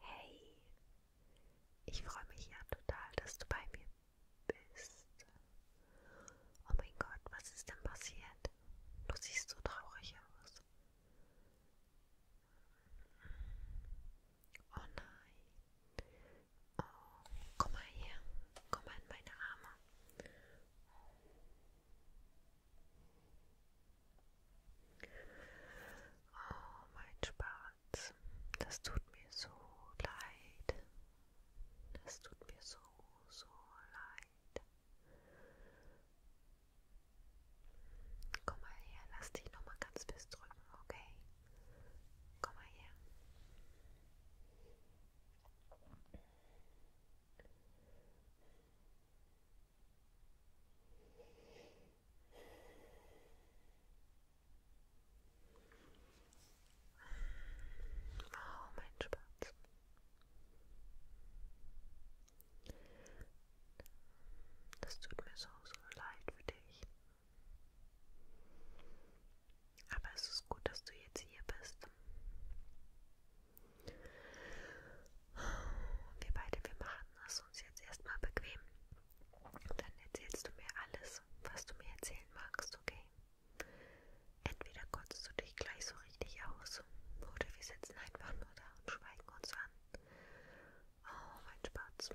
Hey, ich freue mich ja total, dass du bei mir bist. Oh mein Gott, was ist denn passiert? nicht. Du siehst so traurig aus. Oh nein. Oh, komm mal her. Komm mal in meine Arme. Oh, mein Spatz. Das tut mir so leid. Das tut mir so, so leid. Komm mal her, lass dich nochmal ganz fest drücken, okay? Komm mal her. Oh, mein Spatz. Das tut mir so, so leid für dich. Aber es ist gut, dass du jetzt hier bist. Wir beide, wir machen es uns jetzt erstmal bequem. Dann erzählst du mir alles, was du mir erzählen magst, okay? Entweder kotzt du dich gleich so richtig aus oder wir sitzen einfach nur da und schweigen uns an. Oh, mein Spatz.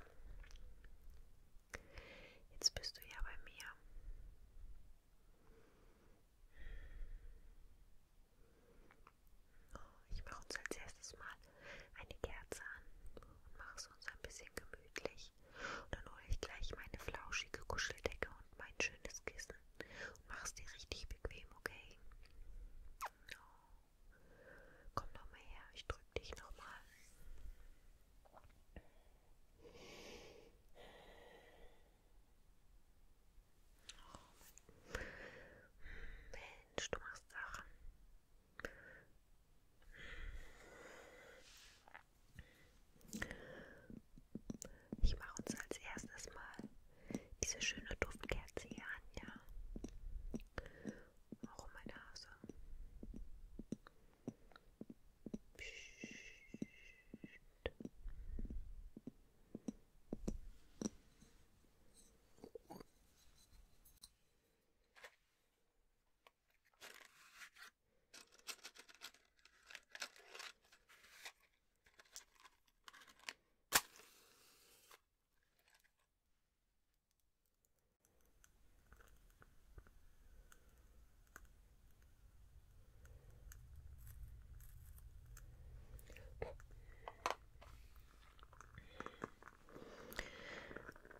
Jetzt bist du ja bei mir. Oh, ich mache uns als erstes mal eine Kerze an und mache es uns ein bisschen gemütlich. Und dann hole ich gleich meine flauschige Kuscheldecke und mein schönes Kissen. Und mach's dir richtig bequem, okay? Oh. Komm noch mal her, ich drück dich noch mal. Oh Mensch, du machst Sachen. Ich mache uns als erstes mal diese schöne Duftkerze hier an, ja. Auch um meine Nase.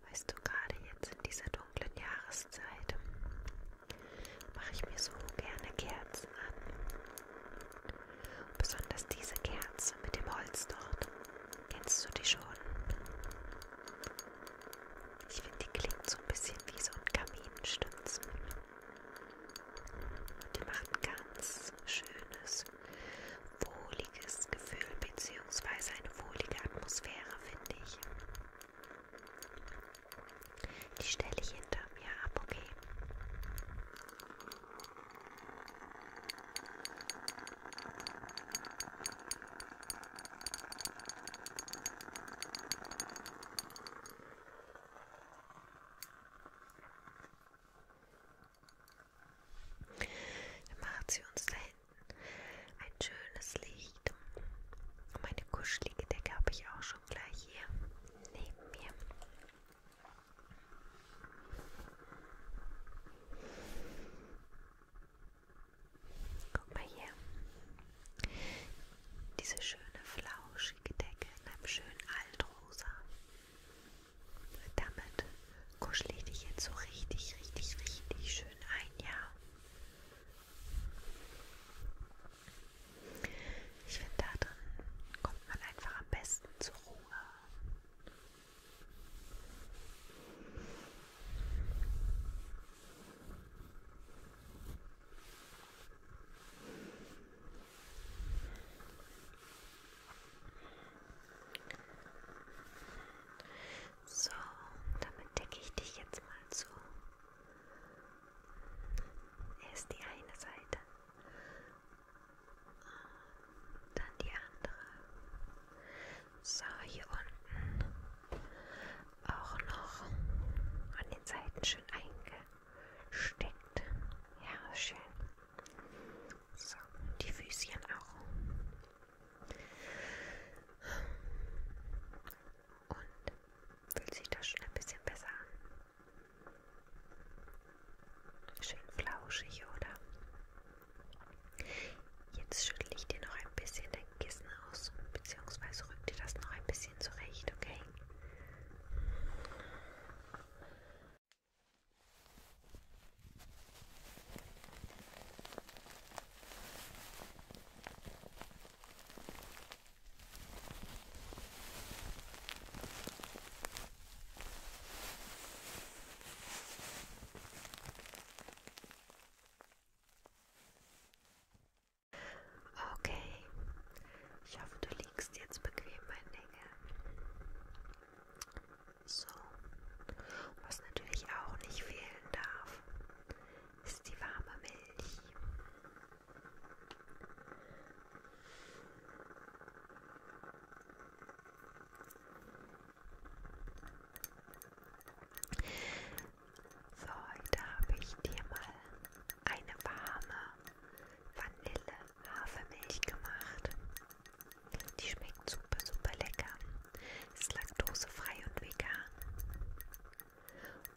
Weißt du, gerade jetzt in dieser dunklen Jahreszeit mache ich mir so gerne Kerzen an. Besonders diese Kerze mit dem Holz dort. Kennst du die schon? Ich finde, die klingt so ein bisschen wie so ein Kaminstützen. Und die macht ein ganz schönes, wohliges Gefühl bzw. eine wohlige Atmosphäre, finde ich. Die stelle ich hinter mir ab, okay? Dann macht sie uns da hinten ein schönes Licht. Und meine kuschelige Decke habe ich auch schon gleich hier neben mir. Guck mal hier. Diese schöne flauschige Decke in einem schönen Altrosa. Damit kuschle ich dich jetzt so richtig, richtig, richtig schön ein, ja. Ich finde, da drin kommt man einfach am besten zur Ruhe. So, damit decke ich dich jetzt mal zu. Erst die eine Seite. Und dann die andere. So, hier unten auch noch an den Seiten schön eingesteckt. Ja, schön. So, die Füßchen auch. Und fühlt sich das schon ein bisschen besser an. Schön flauschig, oder? Jetzt schüttle ich dir noch ein bisschen dein Kissen aus, beziehungsweise rück dir das noch ein bisschen zurecht, okay? Okay, ich hoffe, du liegst jetzt bequem, mein Dinge. So, was natürlich auch nicht fehlen darf, ist die warme Milch. So, heute habe ich dir mal eine warme Vanille-Hafermilch gemacht. Die schmeckt super, super lecker. Ist laktosefrei und vegan.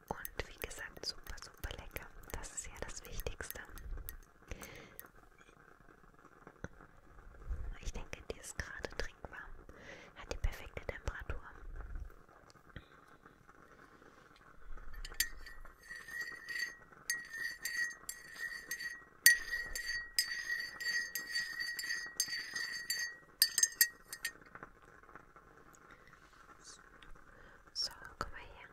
Und wie gesagt, super, super lecker. Das ist ja das Wichtigste. Ich denke, die ist gerade trinkwarm. Hat die perfekte Temperatur. So, komm mal her.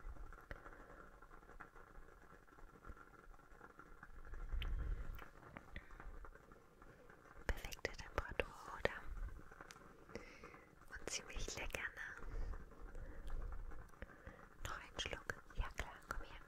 Perfekte Temperatur, oder? Und ziemlich lecker, ne? Noch einen Schluck? Ja klar, komm her.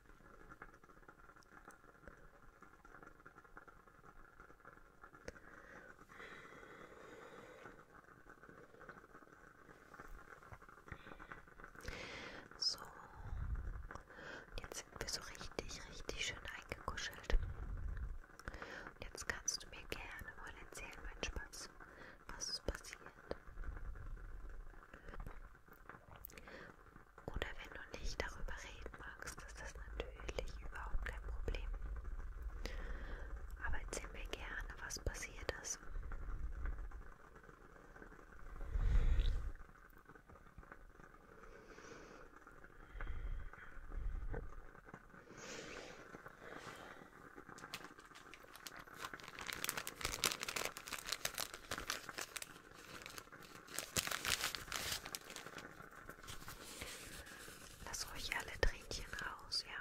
So, und jetzt sind wir so richtig, richtig schön eingekuschelt. Und jetzt kannst du mir gerne mal erzählen, mein Spatz, was ist passiert. Oder wenn du nicht darüber reden magst, ist das natürlich überhaupt kein Problem. Aber erzähl mir gerne, was passiert ist ist. Lass ruhig alle Tränchen raus, ja.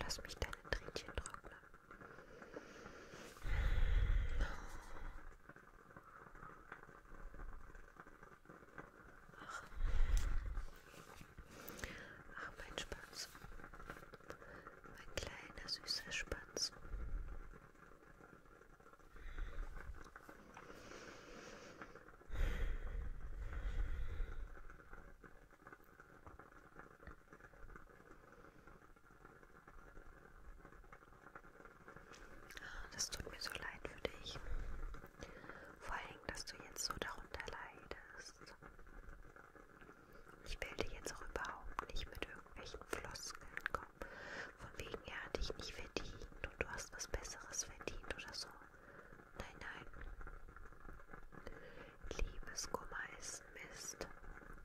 Lass mich deine Tränchen trocknen. Ach. Ach, mein Spatz. Mein kleiner, süßer Spatz. Das tut mir so leid für dich. Vor allem, dass du jetzt so darunter leidest. Ich will dir jetzt auch überhaupt nicht mit irgendwelchen Floskeln kommen. Von wegen, er hat dich nicht verdient und du hast was Besseres verdient oder so. Nein, nein. Liebeskummer ist Mist.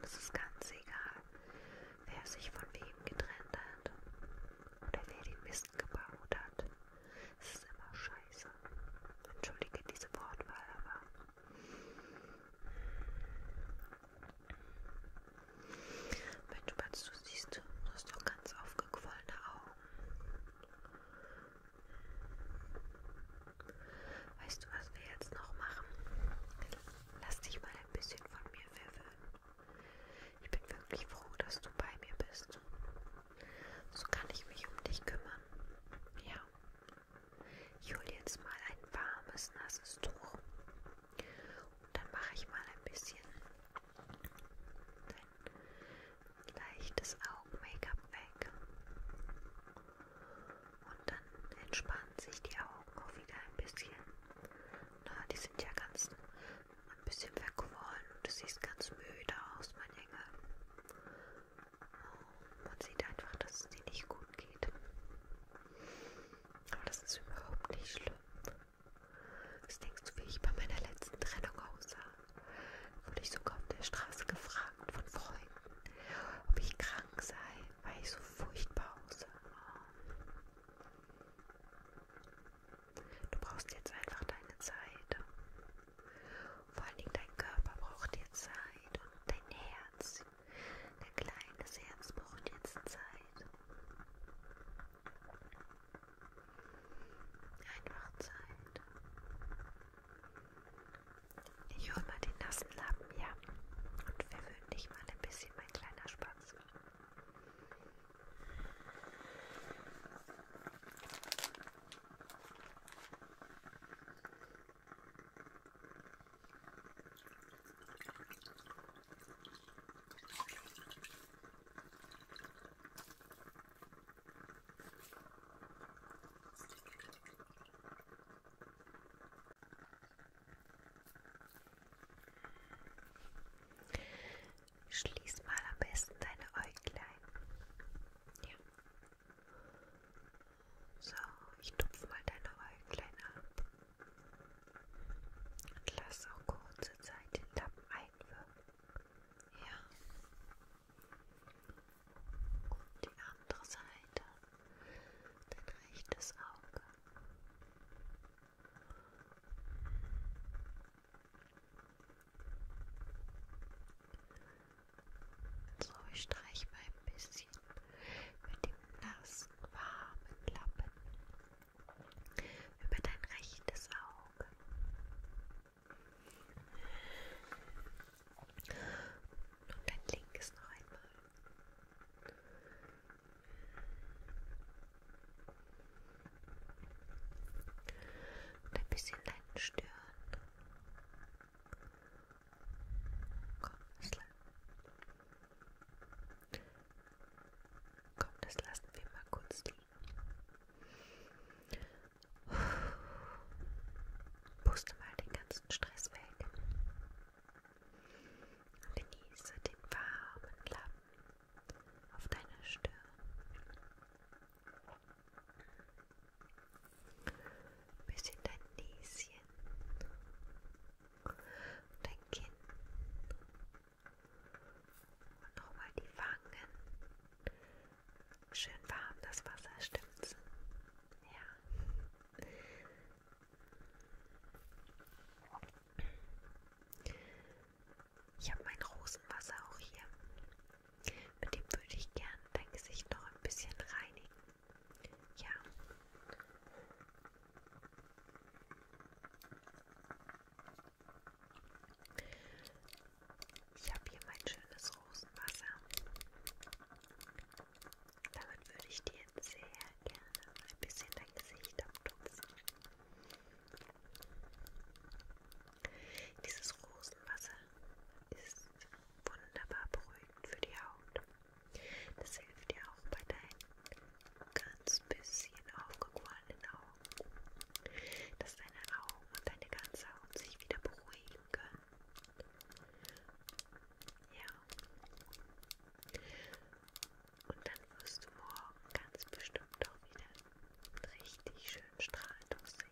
Es ist ganz egal, wer sich von wem getrennt hat oder wer den Mist gebaut hat. Es ist immer scheiße. Entschuldige diese Wortwahl, aber. Mensch, Batz, du siehst, du hast doch ganz aufgequollene Augen. Weißt du, was wir jetzt noch machen? Lass dich mal ein bisschen von mir verwöhnen. Ich bin wirklich froh, dass du bei mir bist. So kann ich mich um dich kümmern. Ja. Ich hole jetzt mal ein warmes, nasses Tuch. Und dann mache ich mal ein bisschen dein leichtes Augen-Make-up weg. Und dann entspannen sich die Augen auch wieder ein bisschen. Na, die sind ja ganz ein bisschen verquollen und du siehst ganz müde aus, mein Engel. Oh, man sieht einfach, dass es dir nicht gut geht. Aber das ist überhaupt nicht schlimm. Was denkst du, wie ich bei meiner letzten Trennung aussah? Wurde ich sogar auf der Straße gefragt von Freunden, ob ich krank sei, weil ich so furchtbar aussah. Du brauchst jetzt einfach deine Zeit. Vor allen Dingen dein Körper braucht jetzt Zeit und dein Herz, dein kleines Herz braucht jetzt Zeit. Einfach Zeit. Ich hol mal den nassen Lappen, ja. Und verwöhn dich mal ein bisschen, mein kleiner Spatz. Schließ mal am besten deine Äuglein. Ja. So, ich tupfe mal deine Äuglein ab. Und lass auch kurze Zeit den Lappen einwirken. Ja. Und die andere Seite, dein rechtes Auge. So, ich streiche mal ein bisschen mit dem nassen, warmen Lappen über dein rechtes Auge. Und dann links noch einmal. Und ein bisschen deinen Stirn. Komm, das, la Komm, das lassen wir mal kurz liegen. Puste mal den ganzen Stress weg. Und genieße den warmen Lappen auf deiner Stirn. Bis in dein Näschen. Und dein Kinn. Und nochmal die Wangen. Schön warm das Wasser, stimmt's? Ja. Ich habe mein Rosenwasser auch hier. Mit dem würde ich gern dein Gesicht noch ein bisschen reinigen. Ja. Ich habe hier mein schönes Rosenwasser. Damit würde ich dir jetzt sehr gerne ein bisschen dein Gesicht abtupfen. Dieses Rosenwasser ist wunderbar beruhigend für die Haut. Das hilft dir auch bei deinen ganz bisschen aufgequollenen Augen dass deine Augen und deine ganze Haut sich wieder beruhigen können. Ja. Und dann wirst du morgen ganz bestimmt auch wieder richtig schön strahlend aussehen.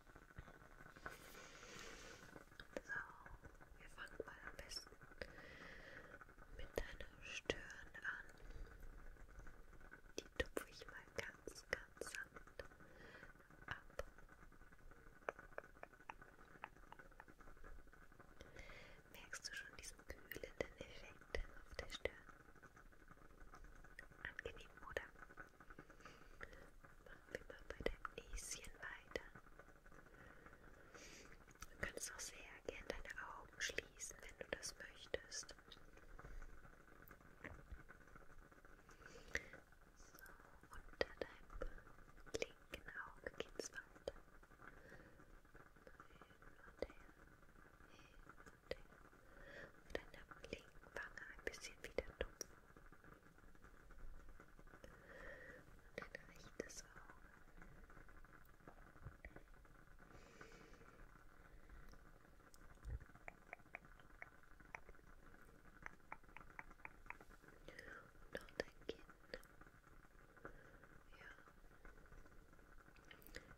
So, wir fangen mal am besten mit deiner Stirn an. Die tupfe ich mal ganz, ganz sanft ab. Merkst du schon diesen kühlenden Effekt auf der Stirn? Angenehm, oder? Machen wir mal bei deinem Näschen weiter. Du kannst auch sehr gern deine Augen schließen, wenn du das möchtest. So, unter deinem linken Auge geht's weiter. Hin und her, hin und her. Auf deiner linken Wange ein bisschen wieder tupfen. Und dein rechtes Auge. Und auch dein Kinn. Ja.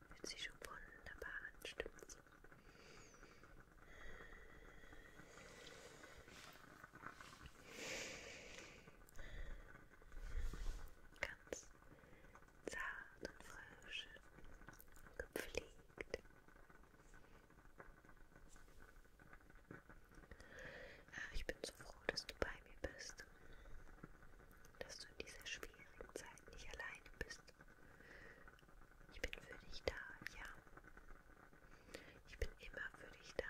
Fühlt sich schon wunderbar an, stimmt's? Ganz zart und frisch gepflegt. Ach, äh, ich bin so froh, dass du bei mir bist. Dass du in dieser schwierigen Zeit nicht alleine bist. Ich bin für dich da, ja. Ich bin immer für dich da.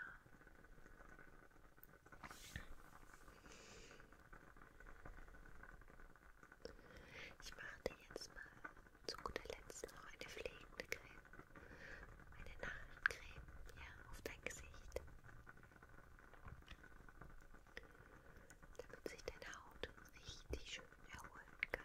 Ich mache dir jetzt mal zu guter Letzt noch eine pflegende Creme. Eine Nachtcreme, ja, auf dein Gesicht. Damit sich deine Haut richtig schön erholen kann.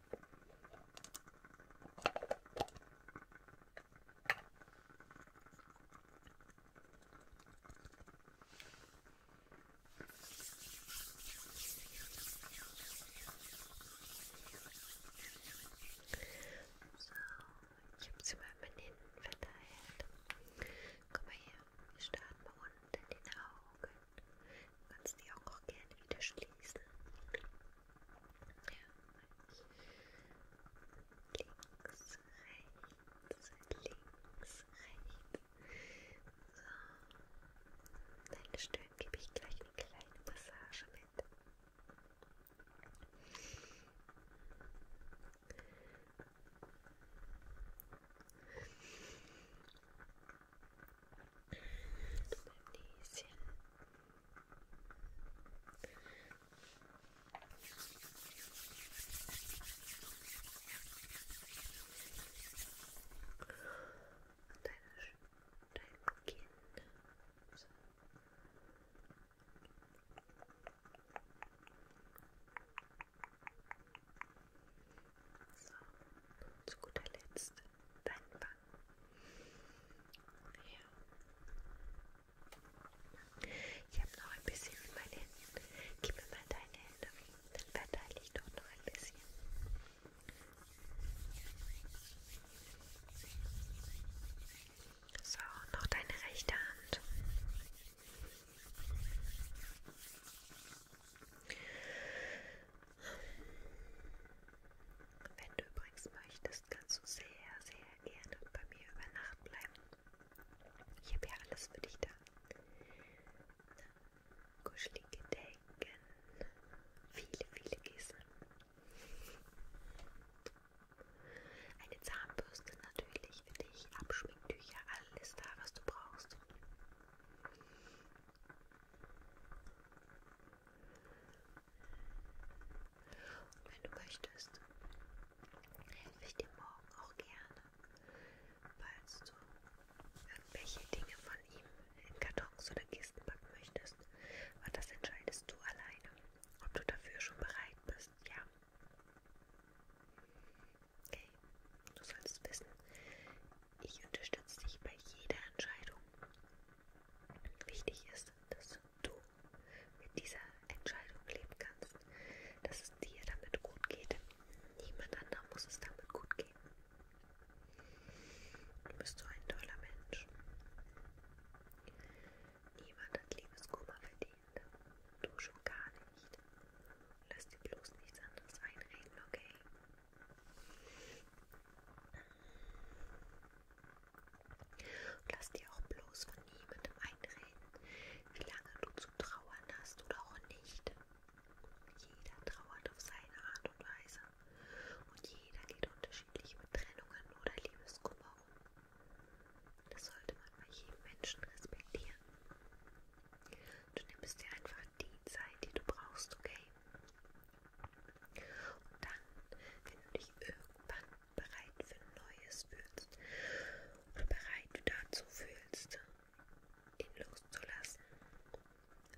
So, ich habe sie mal mit hinten verteilt. Guck mal hier, wir starten mal unten in den Augen. Du kannst die auch, auch gerne wieder schließen. Ja. Links, rechts, links, rechts. So. Deine Stirn gebe ich gleich eine kleine Massage mit. Beim Näschen. Und deine, dein Kinn. So. So, und zu guter Letzt dein Bauch. Ja. Ich habe noch ein bisschen mit meinen Händen. Gib mir mal deine Hände. Dann verteile ich doch noch ein bisschen. So, noch deine rechte Hand. Wenn du übrigens möchtest, kannst du sehr, sehr gerne bei mir über Nacht bleiben. Ich habe ja alles für dich da. Kuschelige Decken, viele, viele Kissen. Eine Zahnbürste natürlich für dich, Abschminktücher, alles da, was du brauchst. Und wenn du möchtest, helfe ich dir morgen auch gerne, falls du irgendwelche Dinge von ihm in Kartons oder Kisten packen möchtest. Aber das entscheidest du alleine, ob du dafür schon bereit bist, ja. Okay, du sollst wissen, ich unterstütze dich bei jeder Entscheidung. Wichtig ist, dass du mit dieser Entscheidung leben kannst, dass es dir damit gut geht. Niemand anderem muss es damit gut gehen. Du bist so ein toller Mensch. Niemand hat Liebeskummer verdient. Du schon gar nicht. Lass dir bloß nichts anderes einreden, okay? Und lass dir auch bloß von niemandem einreden, wie lange du zu trauern hast oder auch nicht. Jeder trauert auf seine Art und Weise und jeder geht unterschiedlich mit Trennungen oder Liebeskummer um. Das sollte man bei jedem Menschen respektieren. Du nimmst dir einfach die Zeit, die du brauchst, okay? Und dann, wenn du dich irgendwann bereit für Neues fühlst und bereit dazu fühlst, ihn loszulassen,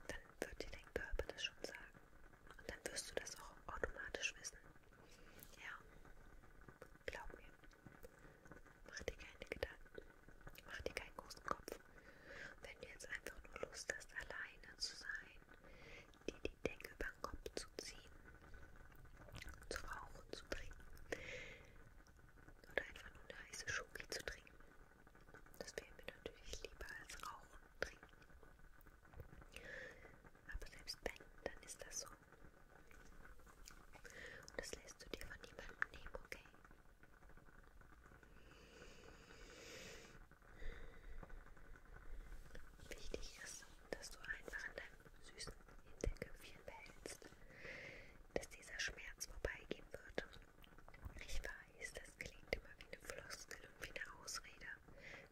dann wird dir dein Körper das schon sagen. Und dann wirst du das auch automatisch wissen. Ja, glaub mir. Mach dir keine Gedanken. Mach dir keinen großen Kopf. Wenn du jetzt einfach nur Lust hast, alleine zu sein, dir die Decke über den Kopf zu ziehen, zu rauchen, zu trinken oder einfach nur eine heiße Schoki zu trinken, das wäre mir natürlich lieber als rauchen und trinken. Aber selbst wenn, dann ist das so. Und das lässt du dir von niemandem nehmen, okay? Wichtig ist, dass du einfach an deinem süßen Hinterköpfchen behältst, dass dieser Schmerz vorbeigehen wird. Ich weiß, das klingt immer wie eine Floskel und wie eine Ausrede,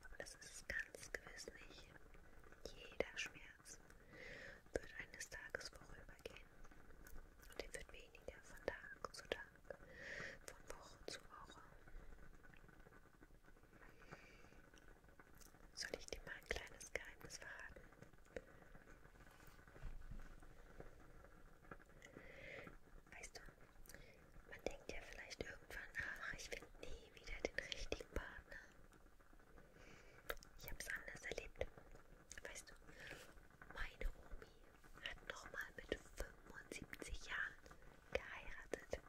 aber das ist es ganz gewiss nicht. Jeder Schmerz wird eines Tages vorübergehen und er wird weniger von Tag zu Tag von Woche zu Woche. Soll ich dir mal ein kleines Geheimnis verraten? Weißt du, man denkt ja vielleicht irgendwann, ach, ich finde nie wieder den richtigen Partner. Ich habe es anders erlebt. Weißt du, meine Omi hat nochmal mit 75 Jahren geheiratet.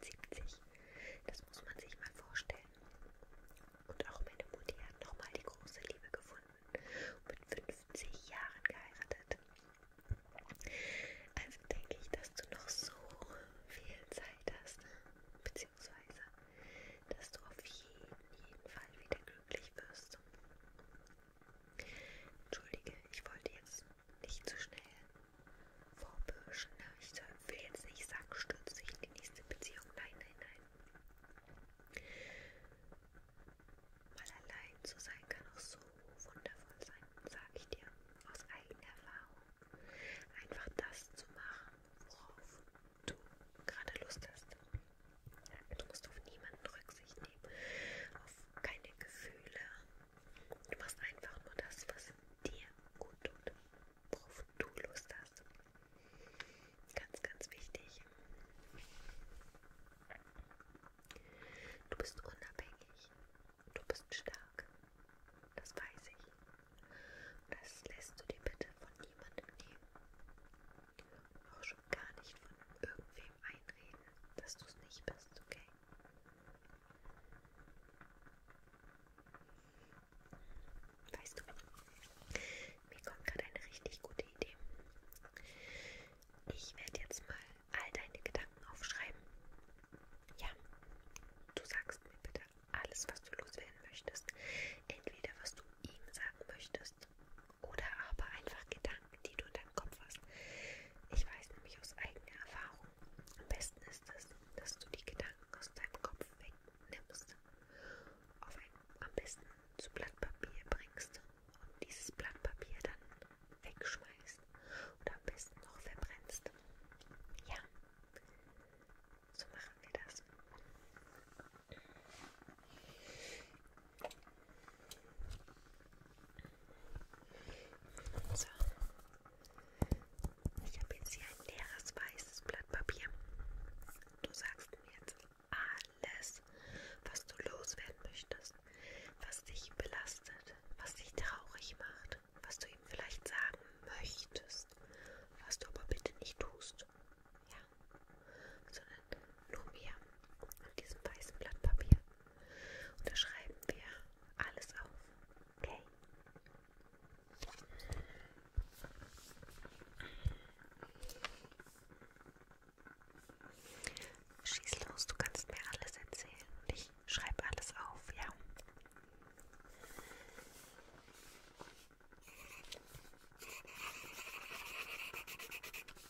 75. Das muss man sich mal vorstellen. Und auch meine Mutti hat nochmal die große Liebe gefunden und mit 50 Jahren geheiratet. Also denke ich, dass du noch so viel Zeit hast, ne? beziehungsweise dass du auf jeden, jeden Fall wieder glücklich wirst. Entschuldige, ich wollte jetzt nicht zu so schnell vorbürschen. Ne? Ich soll, will jetzt nicht sagen, stürze dich in die nächste Beziehung. Nein, nein, nein. Mal allein zu sein kann auch so wundervoll sein, sage ich dir, aus eigener Erfahrung. Einfach das zu machen, worauf du gerade Lust hast. Du musst auf niemanden Rücksicht nehmen, auf keine Gefühle. Du machst einfach nur das, was dir gut tut, worauf du Lust hast. Ganz, ganz wichtig. Du bist unabhängig. Du bist stark. Das weiß ich. Das lässt du dir bitte von niemandem nehmen. Auch schon gar nicht von irgendwem einreden, dass du es nicht bist, okay? Weißt du, mir kommt gerade eine richtig gute Idee. Ich werde jetzt mal all deine Gedanken aufschreiben. Ja, du sagst mir bitte alles, was du loswerden möchtest. Entweder was du ihm sagen möchtest oder aber einfach Gedanken, die du in deinem Kopf hast. Ich weiß nämlich aus eigener Erfahrung, am besten ist es, dass du die Gedanken aus deinem Kopf wegnimmst, auf ein, am besten zu Blatt Papier bringst und dieses Blatt Papier dann wegschmeißt oder am besten noch verbrennst. Ja, so machen wir das. So. Ich habe jetzt hier ein leeres weißes Blatt Papier. Du sagst mir jetzt alles, was du loswerden möchtest, was dich belastet, was dich traurig macht, was du ihm vielleicht sagen möchtest, was du aber bitte nicht tust. Ja. Sondern Lumia auf diesem weißen Blatt Papier. Und da schreiben wir alles auf. Okay? Schieß los, du kannst mir alles erzählen und ich schreibe alles auf, ja?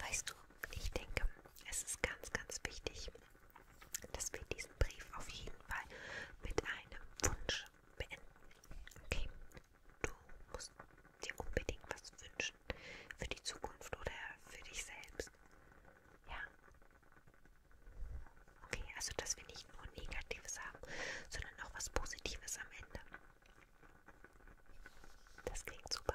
Weißt du, ich denke, es ist ganz, ganz wichtig, dass wir diesen Brief auf jeden Fall mit einem Wunsch beenden. Okay, du musst dir unbedingt was wünschen für die Zukunft oder für dich selbst. Ja. Okay, also dass wir nicht nur Negatives haben, sondern auch was Positives am Ende. Das klingt super.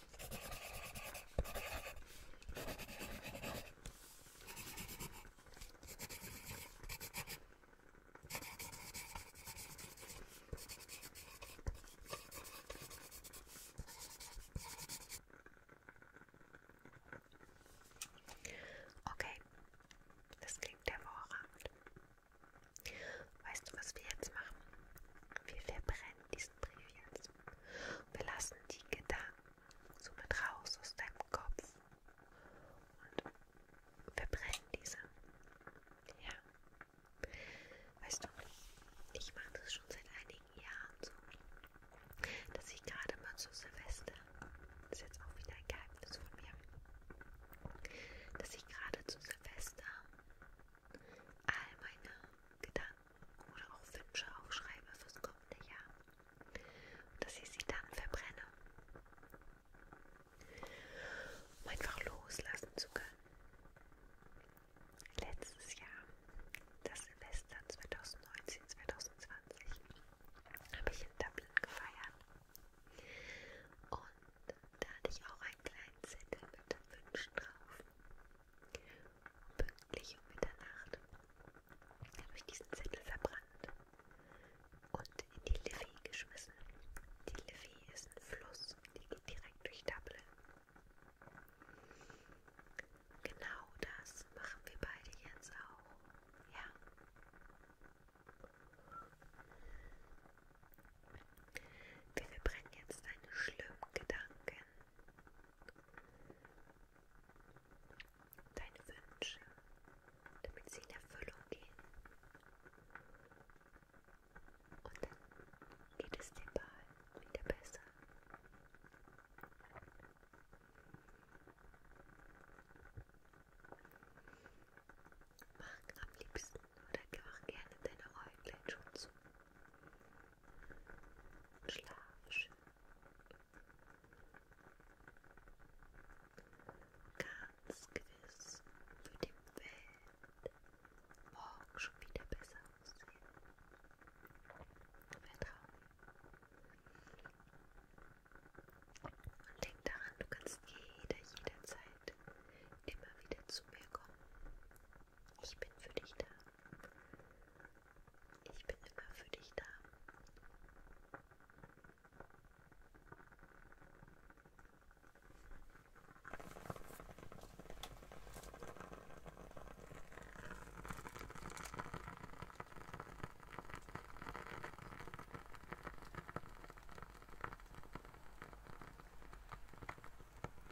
Okay, das klingt hervorragend. Weißt du, was wir jetzt machen? Wir verbrennen diesen Brief jetzt wir lassen die Gedanken somit raus aus deinem Kopf und verbrennen diese. Ja. Weißt du, ich mache das schon seit einigen Jahren so, dass ich gerade mal zu Silvester, das ist jetzt auch wieder ein Geheimnis von mir, dass ich gerade zu Silvester all meine Gedanken oder auch Wünsche aufschreibe fürs kommende Jahr und dass ich sie dann verbrenne. Um einfach loslassen zu können. Letztes Jahr, das Semester 2019, 2020, habe ich in Dublin gefeiert. Und da hatte ich auch einen kleinen Zettel mit Wünschen drauf. Pünktlich um Mitternacht habe ich diesen Zettel verbrannt und in die Liffey geschmissen. Die Liffey ist ein Fluss, die geht direkt durch Dublin. Genau das machen wir beide jetzt auch. Ja. Wir verbrennen jetzt einen schlimmen Gedanken deine Wünsche, damit sie in Erfüllung gehen. Und dann geht es dir bald wieder besser. Mach am liebsten oder mach gerne deine Äuglein schon zu. Schlaf schön. Ganz gewiss für die Welt morgen schon wieder besser aussehen. Vertrauen. Und denk daran, du kannst jeder, jederzeit immer wieder zu mir kommen. Ich bin für dich da. Ich bin immer für dich da.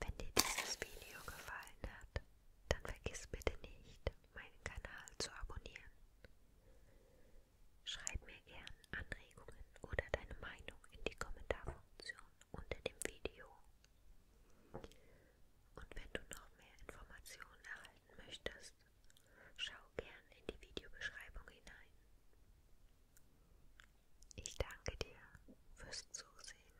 Wenn dir dieses Video gefallen hat, dann vergiss bitte nicht, meinen Kanal zu abonnieren. Schreib mir gern Anregungen oder deine Meinung in die Kommentarfunktion unter dem Video. Und wenn du noch mehr Informationen erhalten möchtest, schau gern in die Videobeschreibung hinein. Ich danke dir fürs Zusehen.